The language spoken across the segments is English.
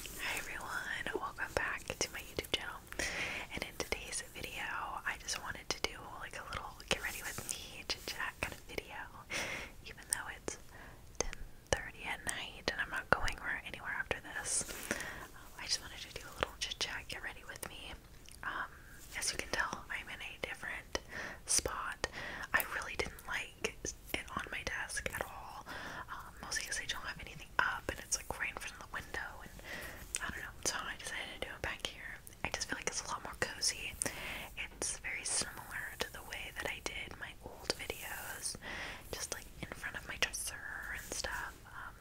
Hi everyone, welcome back to my YouTube channel. And in today's video, I just wanted to do like a little get ready with me chit chat kind of video. Even though it's 10:30 at night and I'm not going anywhere after this, um, I just wanted to do a little chit chat get ready with me. Um, as you can tell, I'm in a different spot. I really didn't like has it on my desk at all, um, mostly because I don't have anything up and it's like right in front of the window, and I don't know. So I decided to do it back here. I just feel like it's a lot more cozy. It's very similar to the way that I did my old videos, just like in front of my dresser and stuff. Um,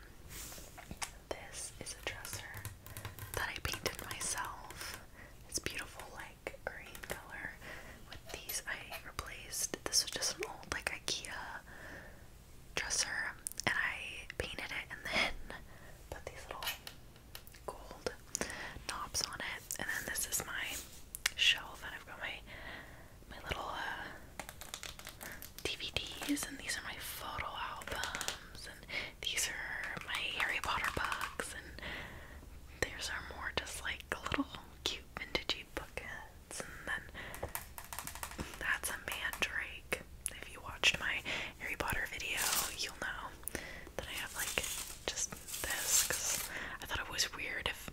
this is a dresser that I painted myself. It's beautiful, like green color these, I replaced this was just an old like IKEA dresser, and I painted it and then put these little gold knobs on it. And then this is my shelf, and I've got my my little uh, DVDs, and these are my photo albums, and these are my Harry Potter books, and these are more just like little cute vintage that's a mandrake. If you watched my Harry Potter video, you'll know that I have like just this because I thought it was weird if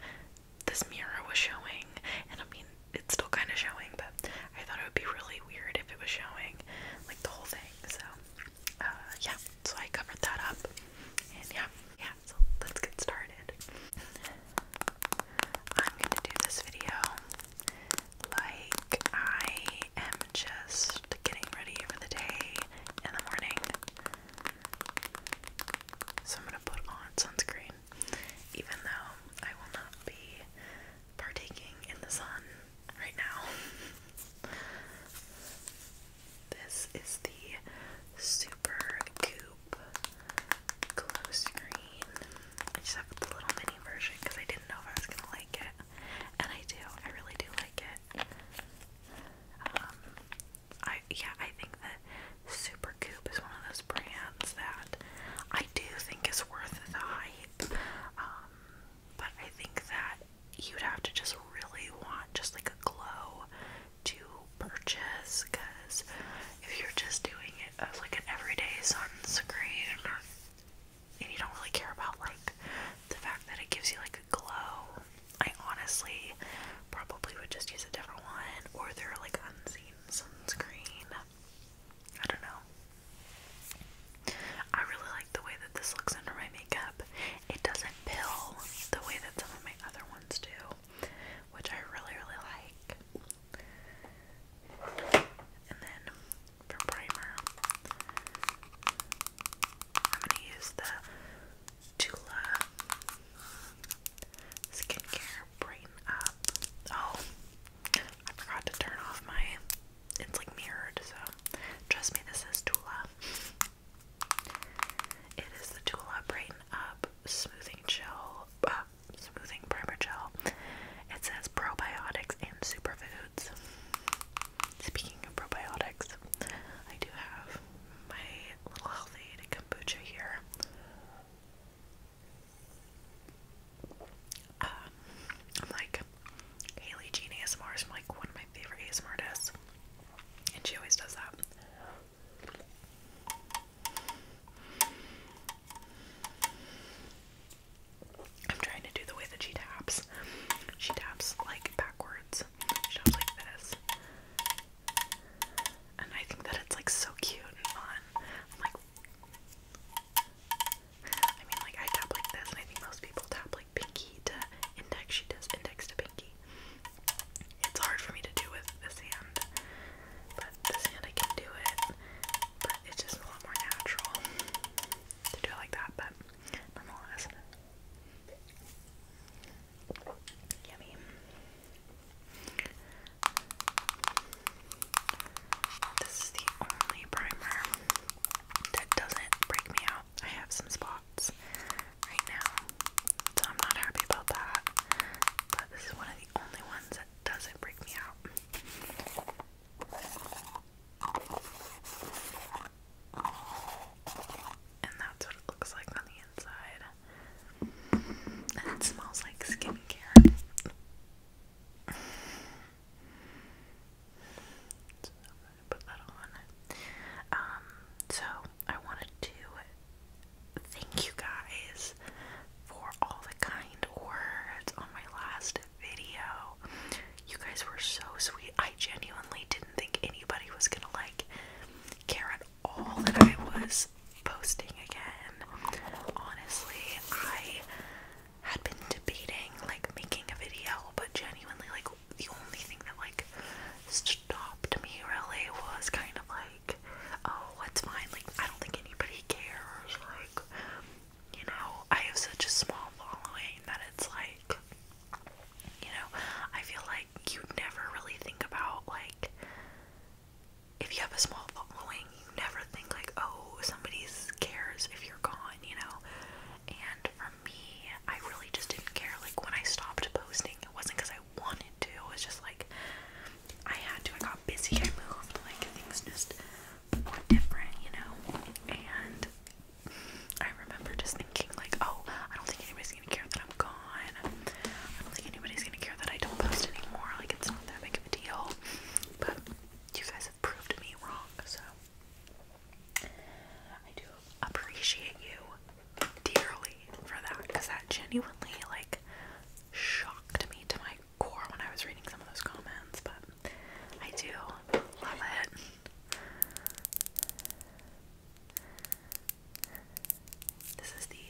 this mirror was showing, and I mean, it's still kind of showing, but I thought it would be really weird if it was showing like the whole thing. So, uh, yeah, so I covered that up, and yeah, yeah, so let's get started. I'm gonna do this video like I am just getting ready for the day in the morning. So I'm gonna put on sunscreen, even though I will not be partaking in the sun right now. This is the Super Coupe glow screen. I just have the little mini version because I didn't know if I was gonna like it, and I do. I really do like it. Um, I yeah, I think that Super Coupe is one of those brands that I do think is worth the hype. Um, but I think that you'd have to just really want just like a glow to purchase because if you're just doing it as uh, like an everyday sunscreen and you don't really care about like the fact that it gives you like a glow, I honestly probably would just use a different one or their like unseen sunscreen. I don't know. I really like the way that this looks under my makeup. It doesn't pill the way that some of my other ones do which I really, really like. And then for primer, I'm gonna use the Tula Skincare Brighten Oh, I forgot to turn off my. It's like mirrored, so trust me, this is Tula. It is the Tula Brighten up smoothing gel, uh, smoothing primer gel. It says probiotics and superfoods. Speaking of probiotics, I do have my little healthy kombucha here. Um, I'm like Haley Jean ASMR is like one of my favorite ASMR artists, and she always does that. I'm trying to do the way that she taps. She taps like backwards. She taps like this. And I think that it's like so cute and fun. I'm like I mean like I tap like this and I think most people tap like pinky to index. She does index to pinky. It's hard for me to do with this hand, but this hand I can do it, but it's just a lot more natural to do it like that, but nonetheless. Yummy. This is the only primer that doesn't break me out. I have some spots right now, so I'm not happy about that this is one of the only ones that doesn't break me out. And that's what it looks like on the inside. And it smells like skincare. So I'm gonna put that on. Um, so I wanted to thank you guys for all the kind words on my last video. You guys were so sweet. I genuinely didn't think anybody was gonna like care at all that I was posting again. Honestly, I had been debating like making a video, but genuinely, like, the only thing that like stopped me really was kind of like oh, it's fine. Like, I don't think anybody cares. Like, you know, I have such a small following that it's like, you know, I feel like you never really think about, like, if you have a small following, you never think, like, oh, somebody cares if you're gone, you know? And for me, I really just didn't care. Like, when I stopped posting, it wasn't because I wanted to, it was just like, I had to. I got busy. I moved. Like things just were different, you know. And I remember just thinking, like, oh, I don't think anybody's gonna care that I'm gone. I don't think anybody's gonna care that I don't post anymore. Like it's not that big of a deal. But you guys have proved me wrong, so I do appreciate you dearly for that because that genuinely like shocked me to my core when I was reading some of those comments, but I do love it. This is the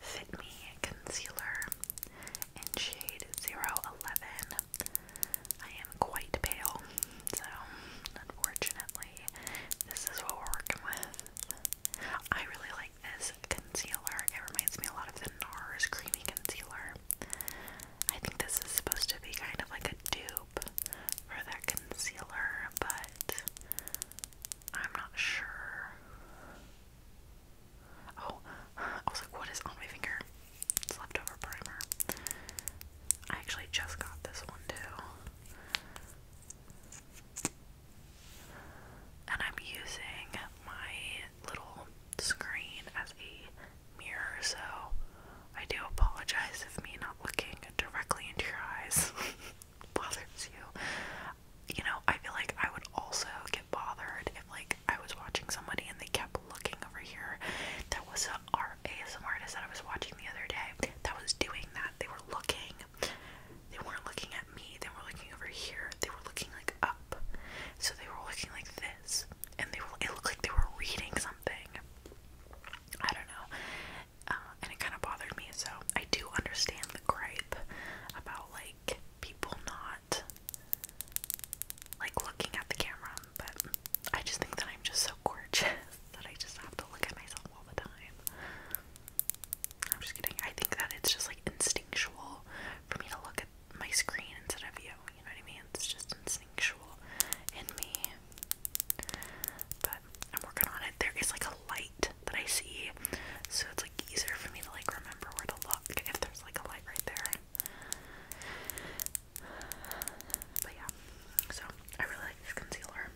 Fit Me Concealer in shade 011. I am quite pale, so unfortunately, this is what we're working with. I really like this concealer. It reminds me a lot of the NARS Creamy Concealer. I think this is supposed to be kind of like a dupe for that concealer, but I'm not sure. Oh, I was like, what is on my finger? It's leftover primer. I actually just got this one too. And I'm using my little screen as a mirror, so I do apologize if me not looking directly into your eyes bothers you. You know, I feel like I would also get bothered if, like, I was watching somebody and they kept looking over here. That was an our artist that I was watching the other day that was doing that. They were looking they weren't looking at me, they were looking over here. They were looking like up. So they were looking like this. And they were it looked like they were reading something. I don't know. Uh, and it kind of bothered me. So I do understand the gripe about like people not like looking at the camera, but I just think that I'm just so gorgeous that I just have to look at myself all the time. I'm just kidding. I think that it's just like instinctual for me to look at my screen instead of you. You know what I mean? It's just instinctual in me. But I'm working on it. There is like a light that I see, so it's like easier for me to like remember where to look if there's like a light right there. But yeah, so I really like this concealer.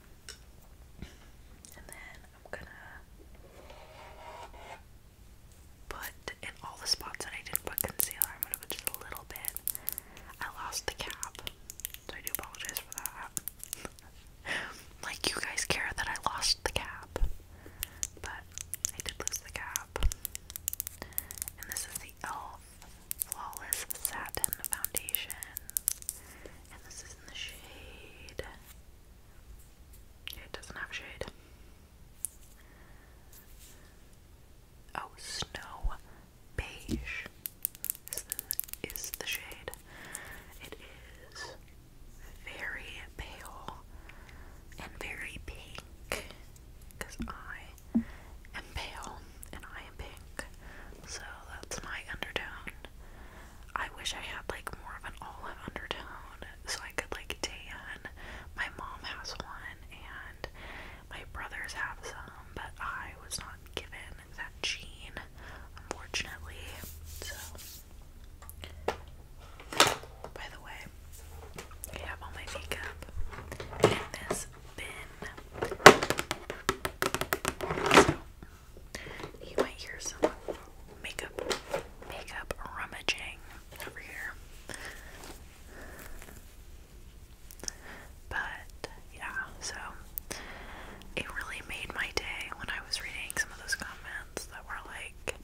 And then I'm gonna put in all the spots that I didn't put concealer. I'm gonna put just a little bit. I lost the cap, so I do apologize for that. like you guys care that I lost the cap, but I did lose the cap. And this is the Elf Flawless Satin Foundation, and this is in the shade. It doesn't have shade. Oh, snow beige is the, shade. It is very pale and very pink because I am pale and I am pink, so that's my undertone. I wish I had like more of an olive undertone so I could like tan. My mom has one and my brothers have some, but I was not given that gene, unfortunately. So by the way, I have all my makeup in this bin. You might hear some makeup makeup rummaging over here. But yeah, so it really made my day when I was reading some of those comments that were like,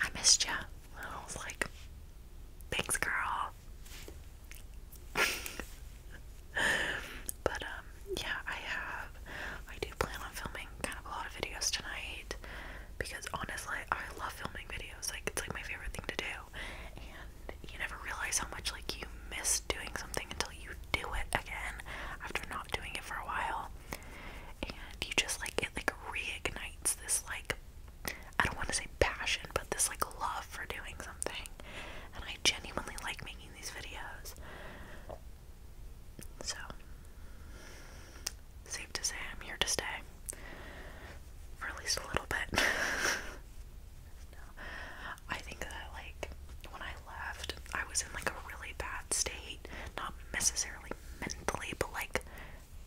I missed ya. And I was like, thanks, girl. But um, yeah, I have I do plan on filming kind of a lot of videos tonight because honestly I love filming videos. Like it's like my favorite thing to do. And you never realize how much like you miss doing something until you do it again after not doing it for a while. And you just like it like reignites this like I don't want to say passion, but this like love for doing something. And I genuinely like making these videos. So, safe to say I'm here to stay for at least a little bit. I think that, like, when I left, I was in like a really bad state. Not necessarily mentally, but like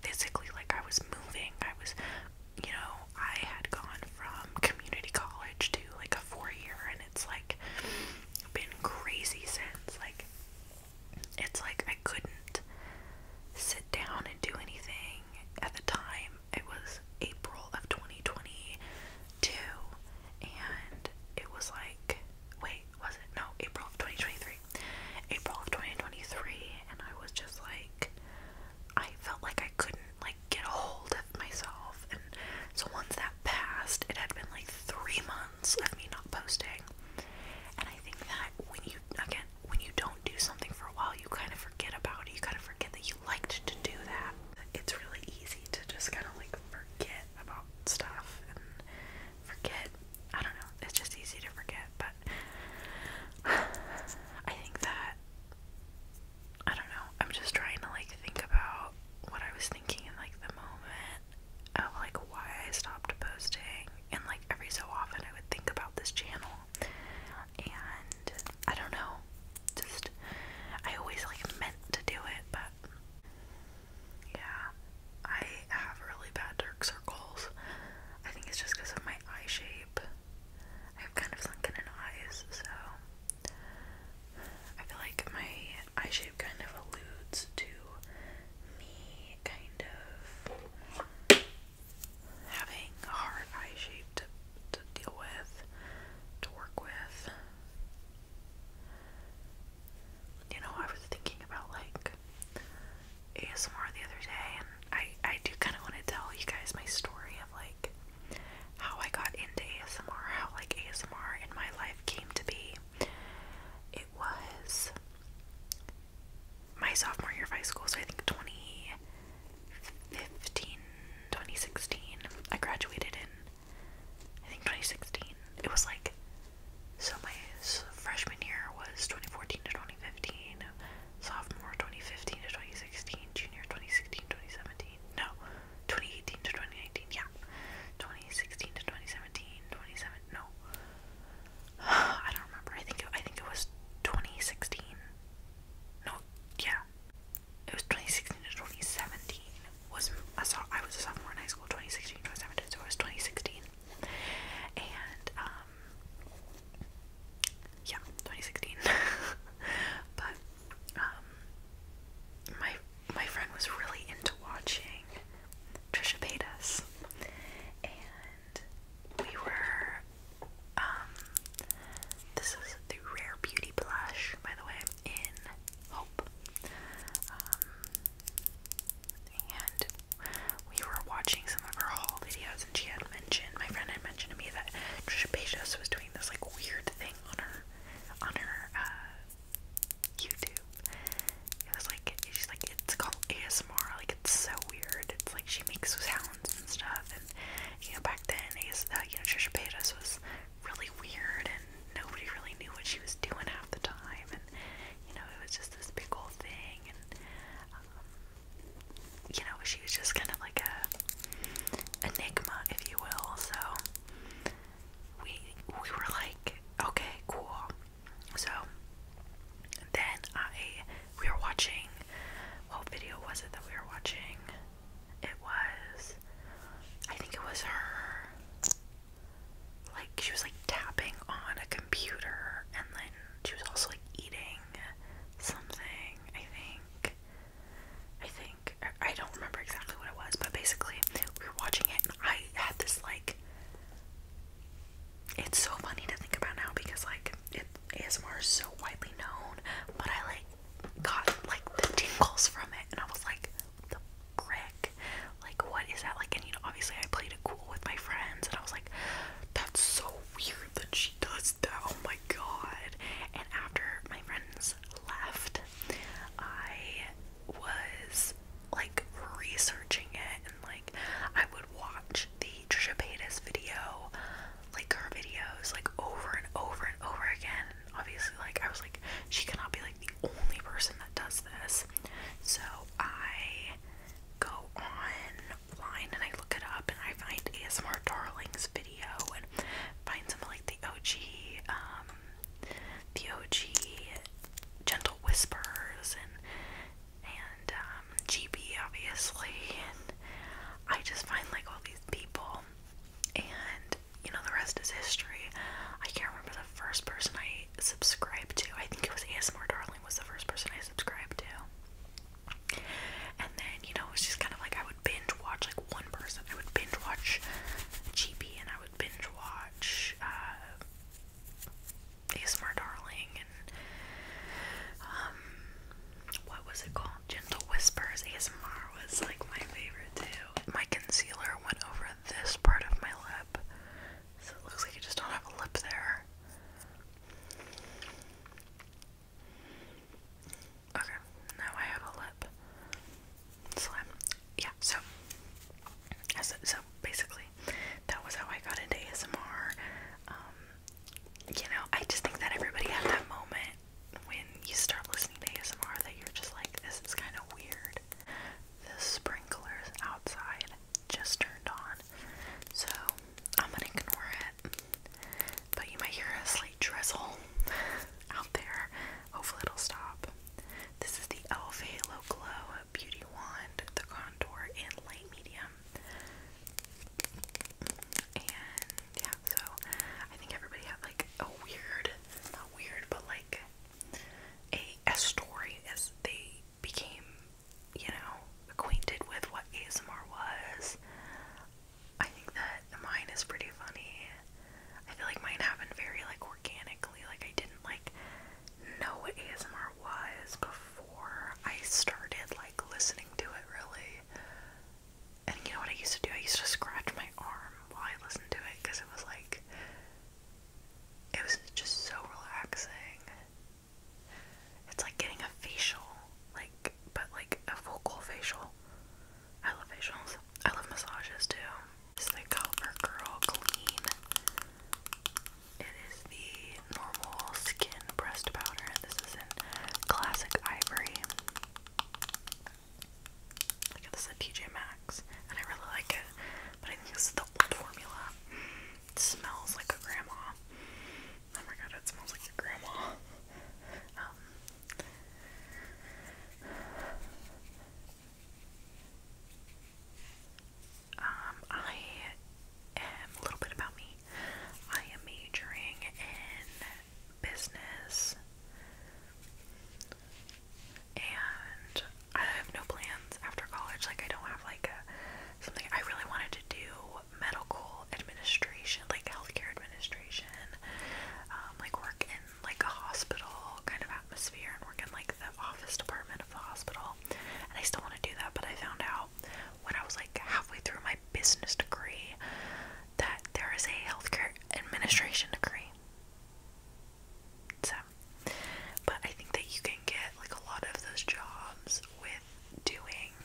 physically. Like, I was moving. I was, you know, I had gone from community college to like a four year it's like been crazy since. Like it's like I couldn't sit down and do anything at the time. It was April of 2022 and it was like wait, was it? No, April of 2023. April of 2023 and I was just like I felt like I couldn't like get a hold of myself and so once that passed, it had been like 3 months months me not posting. And I think that when you, again, when you don't do something for a while, you kind of forget about it. You kind of forget that you liked to do that. It's really easy to just kind of like forget about stuff and forget. I don't know. It's just easy to forget. But I think that, I don't know. I'm just trying to like think about what I was thinking in like the moment of like why I stopped posting and like every so often I would think about this channel and I don't know just I always like meant to do it but yeah I have really bad dark circles I think it's just because of my eye shape I have kind of sunken in eyes so I feel like my eye shape kind of alludes to me kind of having a hard eye shape to deal with, to work with. You know, I was thinking about like ASMR the other day, and I, I do kind of want to tell you guys my story of like how I got into ASMR, how like ASMR in my life came to be. It was my sophomore year of high school, so I think 2015, 2016. I graduated in, I think 2016. It was like, so my freshman year was 2014 to 2015, sophomore 2015 to 2016, junior 2016, 2017. No, 2018 to 2019, yeah. 2016 to 2017, 27, no. I don't remember. I think it, I think it was 2016. No, yeah. It was 2016 to 2017. Was I saw I was a sophomore in high school 2016 to 2017, so it was 2016. And um yeah, 2016. but um my my friend was really into watching Trisha Paytas, and we were um, this is the Rare Beauty blush, by the way, in Hope, um, and we were watching some of her haul videos, and she had mentioned my friend had mentioned to me that Trisha Paytas was doing this like weird thing on her on her uh, YouTube. It was like she's like it's called ASMR. Like it's so weird. It's like she makes sounds and stuff. And you know back then, AS, uh, you know Trisha Paytas was really weird, and nobody really knew what she was doing half the time. And you know it was just this big old thing. And um, you know she was just kind of like a enigma, if you will. So we we were like, okay, cool. So then I we were watching what video was it that we were watching? It was I think it was her like she was like tapping on a computer and then she was also like eating something, I think. I think I don't remember exactly what it was, but basically, we were watching it, I had this like. It's so funny to think about now because like it ASMR is so widely known, but I like got like the tingles from it, and I was like, the brick, like what is that like? And you know, obviously, I played it cool with my friends, and I was like, that's so weird that she does that. Oh my god! And after my friends left, I was like researching it and like I would watch the Trisha Paytas video, like her videos, like over and over and over again. obviously, like I was like, she cannot be like the only person that does this. So I go online and I look it up and I find ASMR Darling's video and find some like the OG um, the OG Gentle Whispers and and um, GB obviously, and I just find like all these people, and you know the rest is history. I can't remember the first person I subscribed to. I think it was ASMR Darling was the first person I subscribed to. And then you know it was just kind of like I would binge watch like one person. I would binge watch GB and I would binge watch uh, ASMR Darling and um, what was it called? Gentle Whispers ASMR was like my favorite too. My concealer went over this part of my lip, so it looks like I just don't have a lip there. Okay, now I have a lip slim. Um, yeah, so so, basically that was how I got into ASMR. Um, you know, I just think that everybody had that moment when you start listening to ASMR that you're just like, this is kind of weird. The sprinklers outside just turned on, so I'm gonna ignore it. But you might hear a slight drizzle out there. Hopefully it'll stop. This is the e.l.f. Halo Glow Beauty Wand, the contour in light medium. And yeah, so I think everybody had like a weird, not weird, but like a, story as they became, you know, acquainted with what ASMR was. I think that mine is pretty funny. I feel like mine happened very like organically. Like I didn't like know what ASMR was before I started like listening to it really. And you know what I used to do? I used to scratch my arm while I listened to it because it was like it was just so relaxing. It's like getting a facial, like but like a vocal facial. I love facials. I love massages too. This the CoverGirl Clean. It is the normal skin pressed powder. This is in classic ivory. Look at this at TJ Maxx, and I really like it. But I think this is the old formula. It smells like a grandma. Oh my god, it smells like your grandma. Um, um, I am a little bit about me. I am majoring in business and I have no plans after college. Like I don't have like something I really wanted to do medical administration, like healthcare administration, um, like work like a hospital kind of atmosphere and work in like the office department of the hospital. And I still want to do that, but I found out when I was like halfway through my business degree that there is a healthcare administration degree. So, but I think that you can get like a lot of those jobs with doing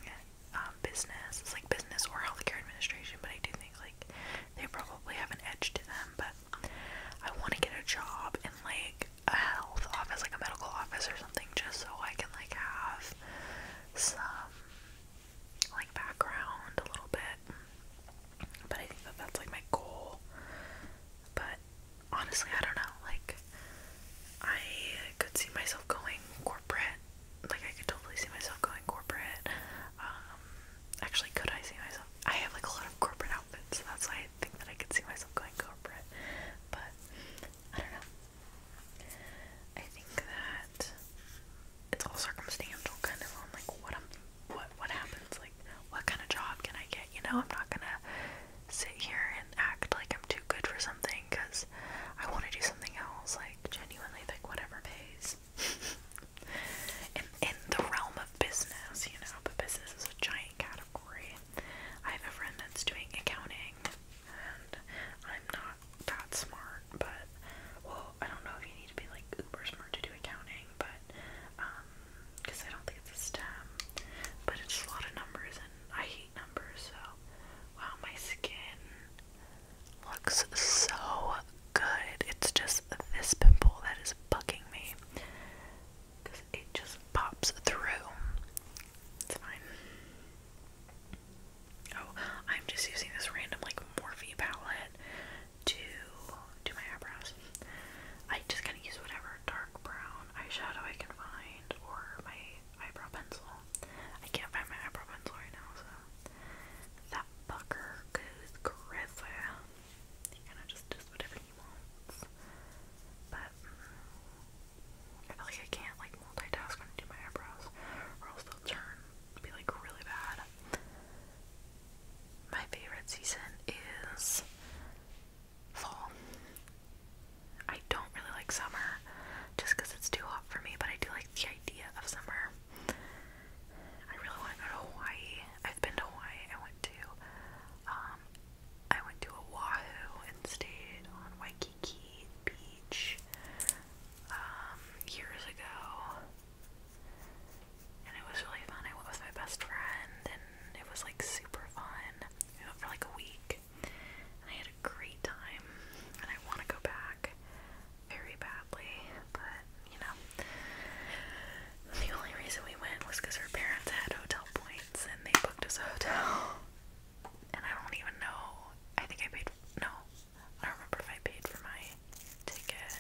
um, business. It's like business or healthcare administration, but I do think like they probably have an edge to them. But I want to get a job in like a health office, like a medical office or something, just so I can like have some like background a little bit. But I think that that's like my goal. But honestly, I don't know. Like, I could see myself going corporate. Like, I could totally see myself going corporate. Um, Actually, could I see myself? I have like a lot of corporate outfits, so that's why I think that I could see myself going corporate. But I don't know. I think that it's all circumstantial, kind of on like what I'm, what what happens, like what kind of job can I get? You know, I'm not gonna sit here and act like I'm too good for something because I want to do something else. Like genuinely, like whatever pays in, in the realm of business, you know, but business is a giant category. I have a friend that's doing accounting, and I'm not that smart, but, well, I don't know if you need to be, like, uber smart to do accounting, but, um, because I don't think it's a STEM, but it's just a lot of numbers, and I hate numbers, so, wow, my skin looks so good. It's just this pimple that is bugging me. Because it just pops through. It's fine. Oh, I'm just using this random, like, Morphe palette to do my eyebrows. I just gonna use whatever dark brown eyeshadow I can find or my eyebrow pencil. I can't find my eyebrow pencil right now, so. That fucker goes crazy. He kind of just does whatever he wants. But mm, I feel like I can't like multitask when I do my eyebrows, or else they'll turn be like really bad. My favorite season is fall. I don't really like summer just because it's too hot for me, but I do like the idea of summer. I really want to go to Hawaii. I've been to Hawaii. I went to, um, I went to Oahu and stayed on Waikiki Beach, um, years ago. And it was really fun. I went with my best friend, and it was like super fun. We went for like a week, and I had a great time. And I want to go back very badly, but you know, the only reason we went was because her parents had hotel points and they booked us a hotel. And I don't even know. I think I paid. No, I don't remember if I paid for my ticket.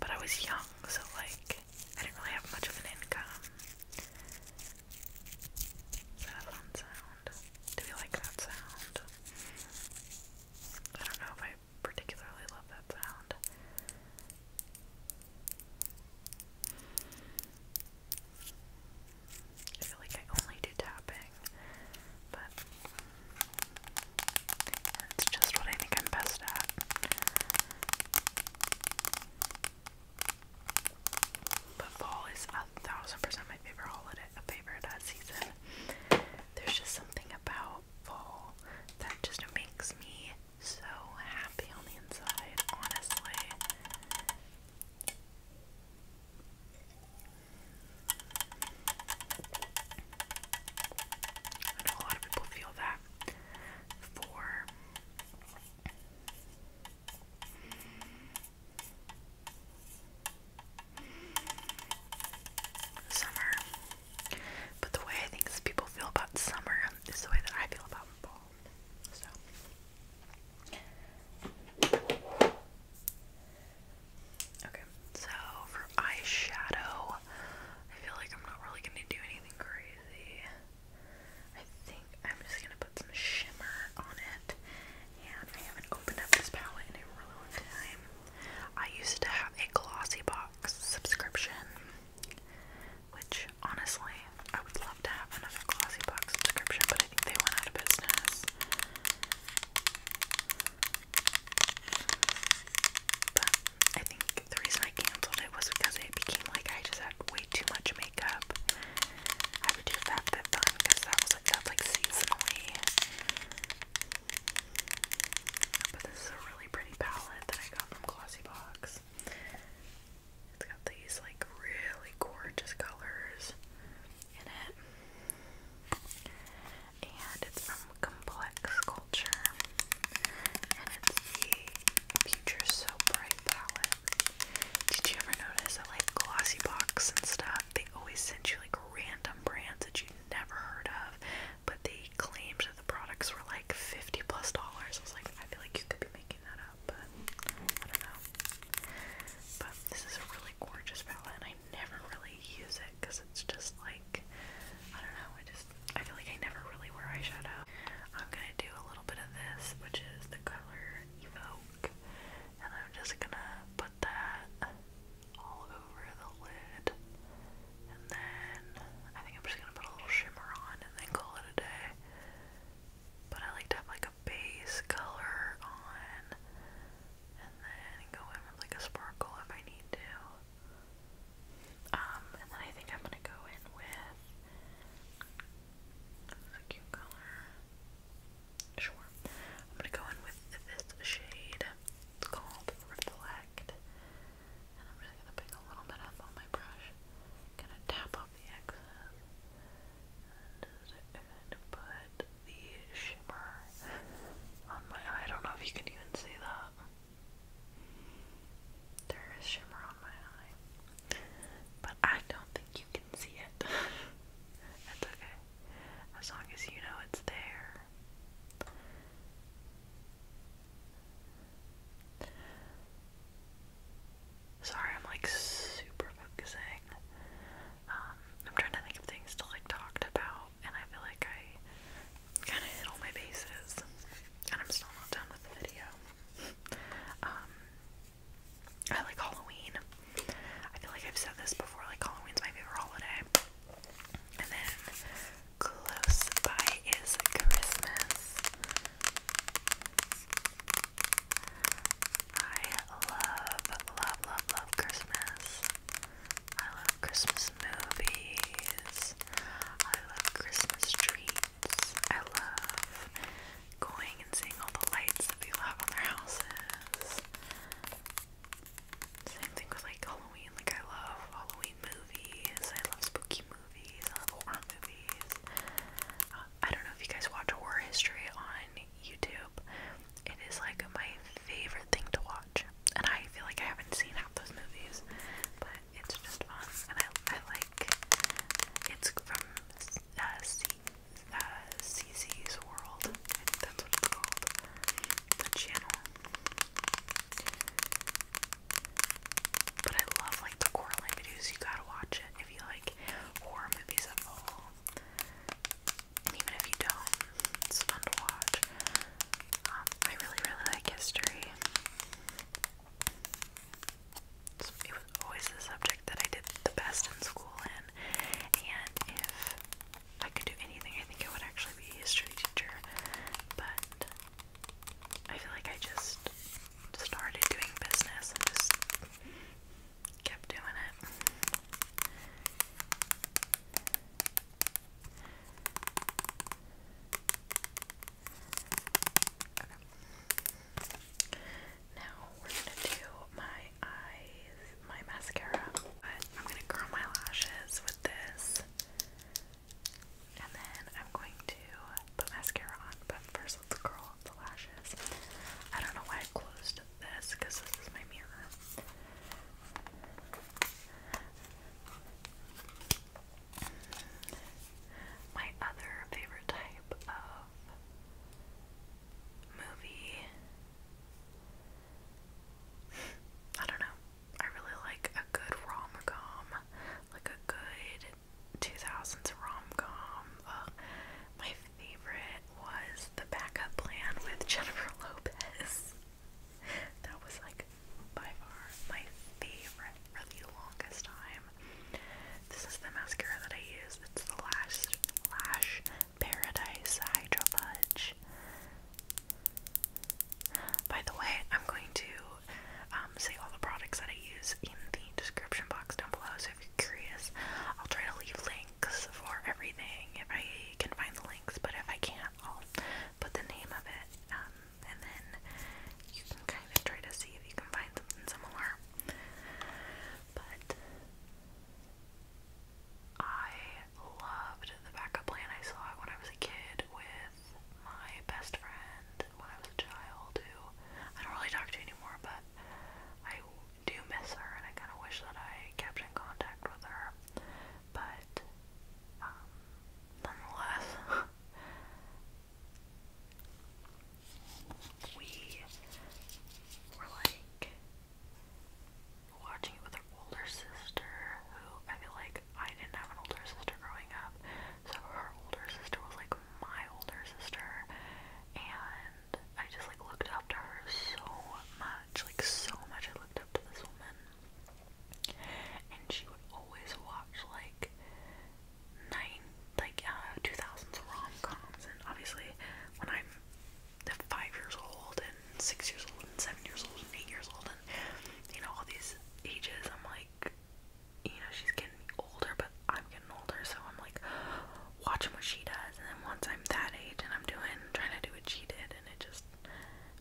But I was young, so like I didn't really have much of an income. Is that sound? Do we like that sound? I don't know if I particularly love that sound. I feel like I only do tapping, but it's just what I think I'm best at. But fall is a thousand percent my favorite holiday, a favorite uh, season. There's just something about fall. That just makes me so happy on the inside, honestly. I know a lot of people feel that for summer but the way I think people feel about summer is the way that I feel about fall. So. Okay, so for eyeshadow, I feel like I'm not really gonna do anything crazy. I think I'm just gonna put some shimmer on it. And I haven't opened up this palette in a really long time. I used to have a glossy box. Box subscription, which honestly, I would love to have another Glossy Box subscription, but I think they went out of business. But I think the reason I canceled it was because it became like I just had way too much makeup. I would do that that fun because that was like that's like seasonally. But this is a really pretty palette that I got from Glossy It's got these like really gorgeous colors in it. And it's from Complex Culture. And it's the Future So Bright palette. Did you ever notice that like Glossy Box and stuff, they always send you like random brands that you never heard of, but they claimed that the products were like 50 plus dollars. I was like, I feel like you could be making that up, but I don't know. But this is a really gorgeous palette, and I never really use it because it's just like, I don't know, I just, I feel like I never really wear eyeshadow. I'm gonna do a little bit of this, which is the color Evoke, and I'm just gonna put that all over the lid. And then I think I'm just gonna put a little shimmer on and then call it a day. But I like to have like a base color on and then go in with like a sparkle if I need to. Um, and then I think I'm gonna go in with a cute color. Sure. I'm gonna go in with this shade. It's called Reflect. I'm just gonna pick a little bit up on my brush. Gonna tap off the excess. And put the shimmer on my eye. I don't know if you can even see that. There is shimmer on my eye. But I don't think you can see it. That's okay. As long as you know it's there. Sorry, I'm like super focusing. Um, I'm trying to think of things to like talk about, and I feel like I kind of hit all my bases, and I'm still not done with the video. Um, I like Halloween. I feel like I've said this before. Like Halloween's my favorite holiday, and then Close by is Christmas. I love, love, love, love Christmas. I love Christmas movies. I love Christmas treats. I love going and seeing all the lights that people have on their houses. Same thing with like Halloween. Like I love Halloween spooky movies. I love spooky movies. I love horror movies. Uh, I don't know if you guys watch horror history on YouTube. It is like my favorite thing to watch, and I feel like I haven't seen half those movies, but it's just fun, and I, I like. It's from uh, C, uh, CC's World. I think that's what it's called. The channel. But I love like the Coraline videos. You gotta watch it if you like horror movies at all. And even if you don't, it's fun to watch. Um, I really, really like history. it was always the subject that I did the best in school in. And if I could do anything, I think I would actually be a history teacher. But I feel like I just started doing business and just kept doing it. Now we're gonna do my eyes, my mascara. But I'm gonna curl my lashes with this. And then I'm going to put mascara on, but first let's curl the lashes. I don't know why I closed this because this is my mirror. My other favorite type of movie. I don't know. I really like a good rom com, like a good 2000s rom com. my favorite was The Backup Plan with Jennifer Lopez. that was like by far my favorite for the longest time. This is the mascara that I use. It's the Lash Lash Paradise Hydro Fudge. By the way, I'm going to um, say all the products that I use in the description box down below, so if you're curious, I'll try to leave links for everything if I can find the links, but if I can't, I'll put the name of it, um, and then you can kind of try to see if you can find something similar. But I loved the backup plan I saw when I was a kid with my best friend when I was a child who I don't really talk to anymore, but I do miss her and I kind of wish that I kept in contact with her. But, um, nonetheless, we were like watching it with an older sister who I feel like I didn't have an older sister growing up, so her older sister was like my older sister, and I just like looked up to her so much, like so much. I looked up to this woman, and she would always watch like nine, like uh, 2000s rom coms, and obviously when I'm five years old and six years old and seven years old and eight years old and you know, all these ages, I'm like, you know, she's getting older, but I'm getting older, so I'm like watching what she does, and then once I'm that age and I'm doing, trying to do what she did, and it just,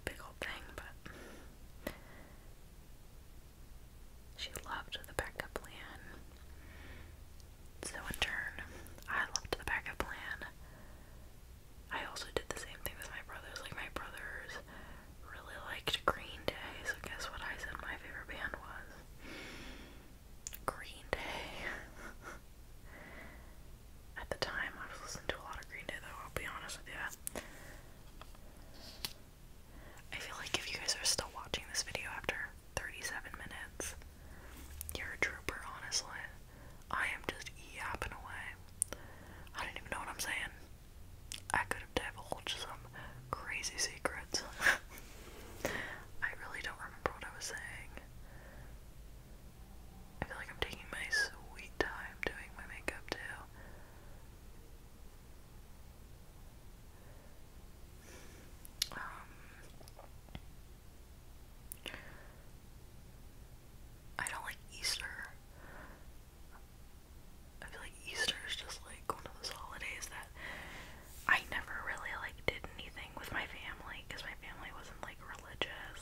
big old thing, but she loved the backup plan. So in turn, I loved the backup plan. I also did the same thing with my brothers. Like, my brothers really liked Green Day, so guess what I said my favorite band was? Green Day. At the time, I was listening to a lot of Green Day, though, I'll be honest with you. I feel like if you guys are still watching this video after 37 minutes, you're a trooper, honestly. I am just yapping away. I don't even know what I'm saying. I could have divulged some crazy secrets. I really don't remember what I was saying. I feel like I'm taking my sweet time doing my makeup too. Um, I don't like Easter. I feel like Easter is just like one of those holidays that I never really like did anything with my family because my family wasn't like religious.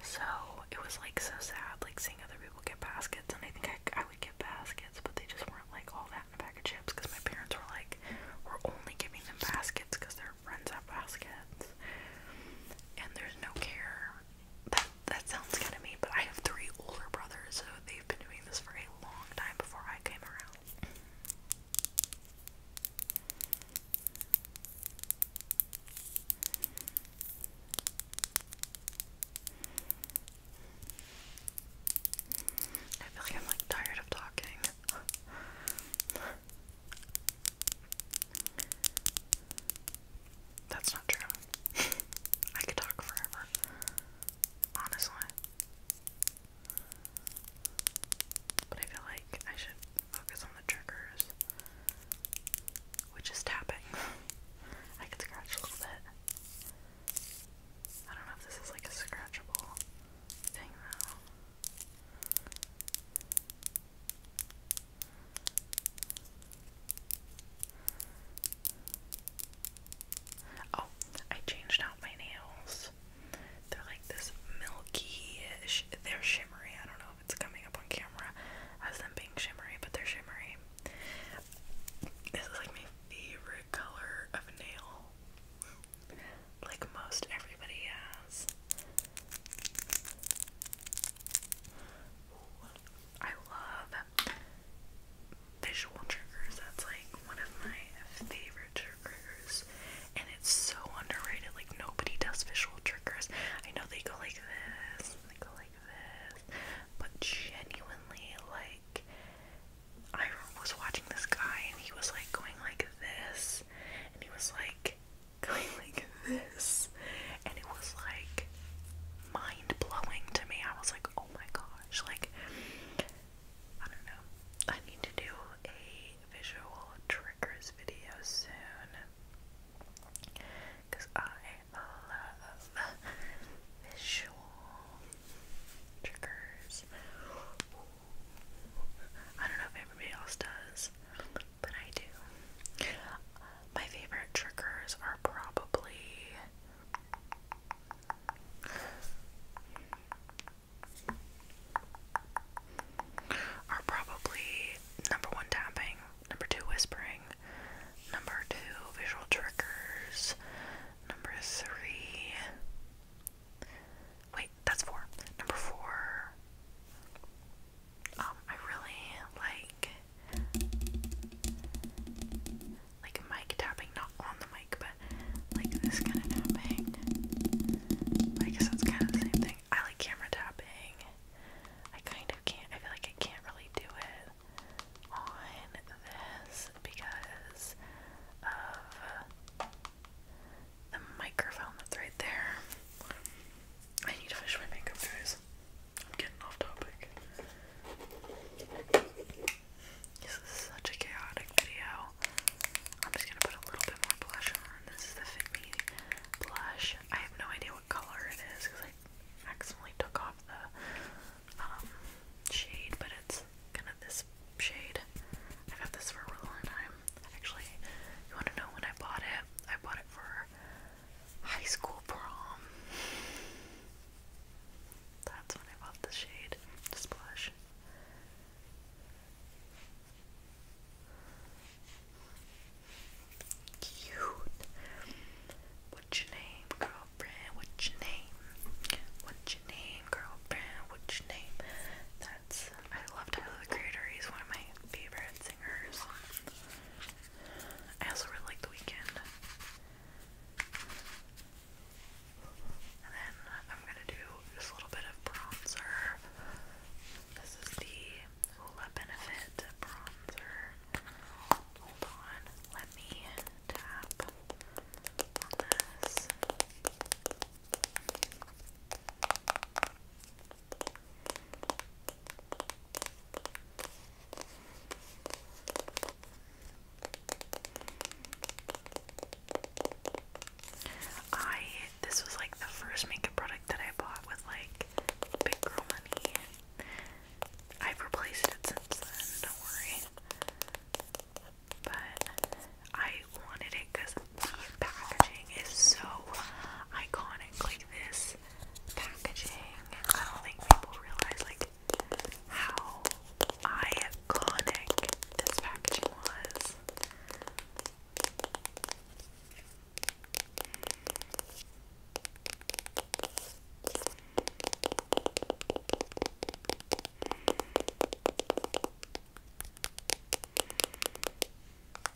So it was like so sad, like seeing other people get baskets, and I think I, I would get baskets, but they just weren't like all that in a bag of chips because my parents were like, we're only giving them baskets because their friends have baskets, and there's no care that sounds kind of mean, but I have three older brothers, so they've been doing this for a long time before I came around. I feel like I'm like tired of talking. That's not true. I could talk forever. Honestly. But I feel like I should focus on the triggers, which is tapping. I could scratch a little bit. I don't know if this is like a scratchable thing though. Oh, I changed out my nails. They're like this milky, sh they're shimmery. I don't know if it's coming up on camera as them being shimmery, but they're shimmery. This like my favorite color of nail. Like most everybody has. I love visual triggers. That's like one of my favorite triggers. And it's so underrated. Like nobody does visual triggers. I know they go like this, they go like this, but genuinely like I was watching this guy and he was like going like this and he was like going like this, and it was like mind blowing to me. I was like, oh my gosh, like I don't know. I need to do a visual triggers video soon because I love visual triggers. I don't know if everybody else does, but I do. My favorite triggers are probably are probably number one tapping, number two whispering, number two visual triggers, number three wait, that's four. Number four um, I really like like mic tapping, not on the mic, but like this kind of tapping. I guess that's kind of the same thing. I like camera tapping. I kind of can't. I feel like I can't really do it on this because of the microphone that's right there. I need to finish my makeup, guys. I'm getting off topic. This is such a chaotic video. I'm just gonna put a little bit more blush on. This is the Fit Me blush. I have no idea what color it is because I accidentally took off the um, shade, but it's kind of this shade. I've had this for a really long time. Actually, you want to know when I bought it? I bought it for high school prom. That's when I bought the shade, the splash. Cute. What's your name, girlfriend? What's your name? What's your name, girlfriend? What's your name? That's I love Tyler the Creator. He's one of my favorite singers. I also really like The Weeknd. And then I'm gonna do just a little bit of bronzer. This is the Hoola Benefit bronzer. Hold on, let me tap on this. I this was like the first makeup product that I bought with like big girl money. I've replaced it since then, don't worry. But I wanted it because the packaging is so iconic. Like this like packaging. I don't think people realize like how iconic this packaging was.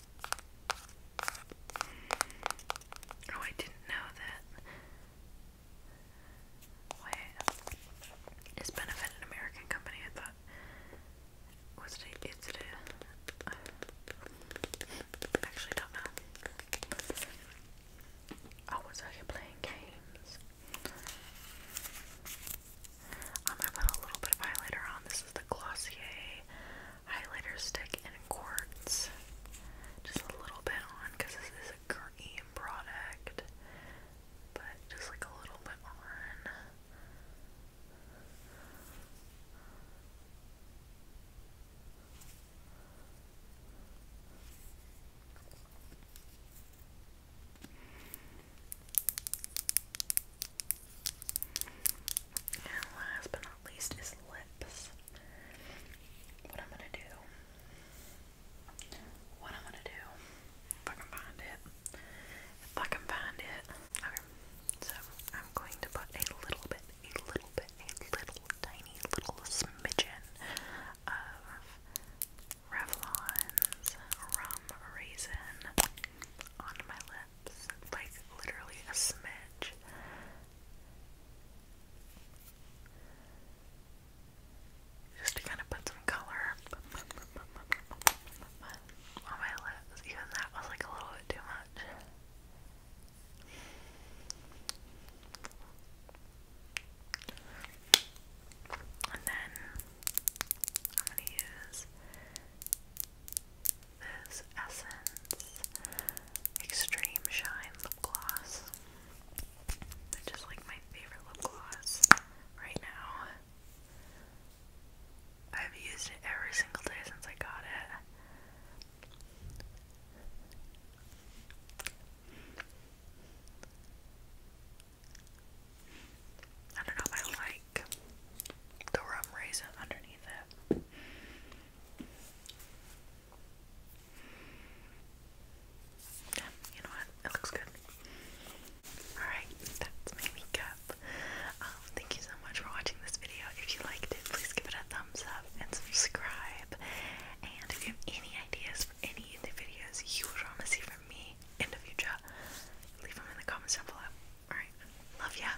Oh, I didn't know that. Benefit an American company? I thought. Was it a, it actually don't know. Oh, was I playing games? I'm gonna put a little bit of highlighter on. This is the Glossier highlighter stick in quartz. Just a little bit on because this is a cream product, but just like a little bit on. And last but not least is lips. What I'm gonna do, what I'm gonna do, if I can find it, if I can find it. Okay, so I'm going to put a little bit, a little bit, a little tiny little smidgen of Revlon's Rum Raisin on my lips. Like literally a smidge. Just to kind of put some color on my lips. Even that was like a little bit too much. And then I'm gonna use this Essence Extreme Shine Lip Gloss, which is like my favorite lip gloss right now. I've used it every single day since I got it. I don't know if I like the rum raisin underneath it you know what? It looks good. Alright, that's my makeup. Um, thank you so much for watching this video. If you liked it, please give it a thumbs up and subscribe. And if you have any ideas for any of the videos you would want to see from me in the future, leave them in the comments down below. Alright, love ya.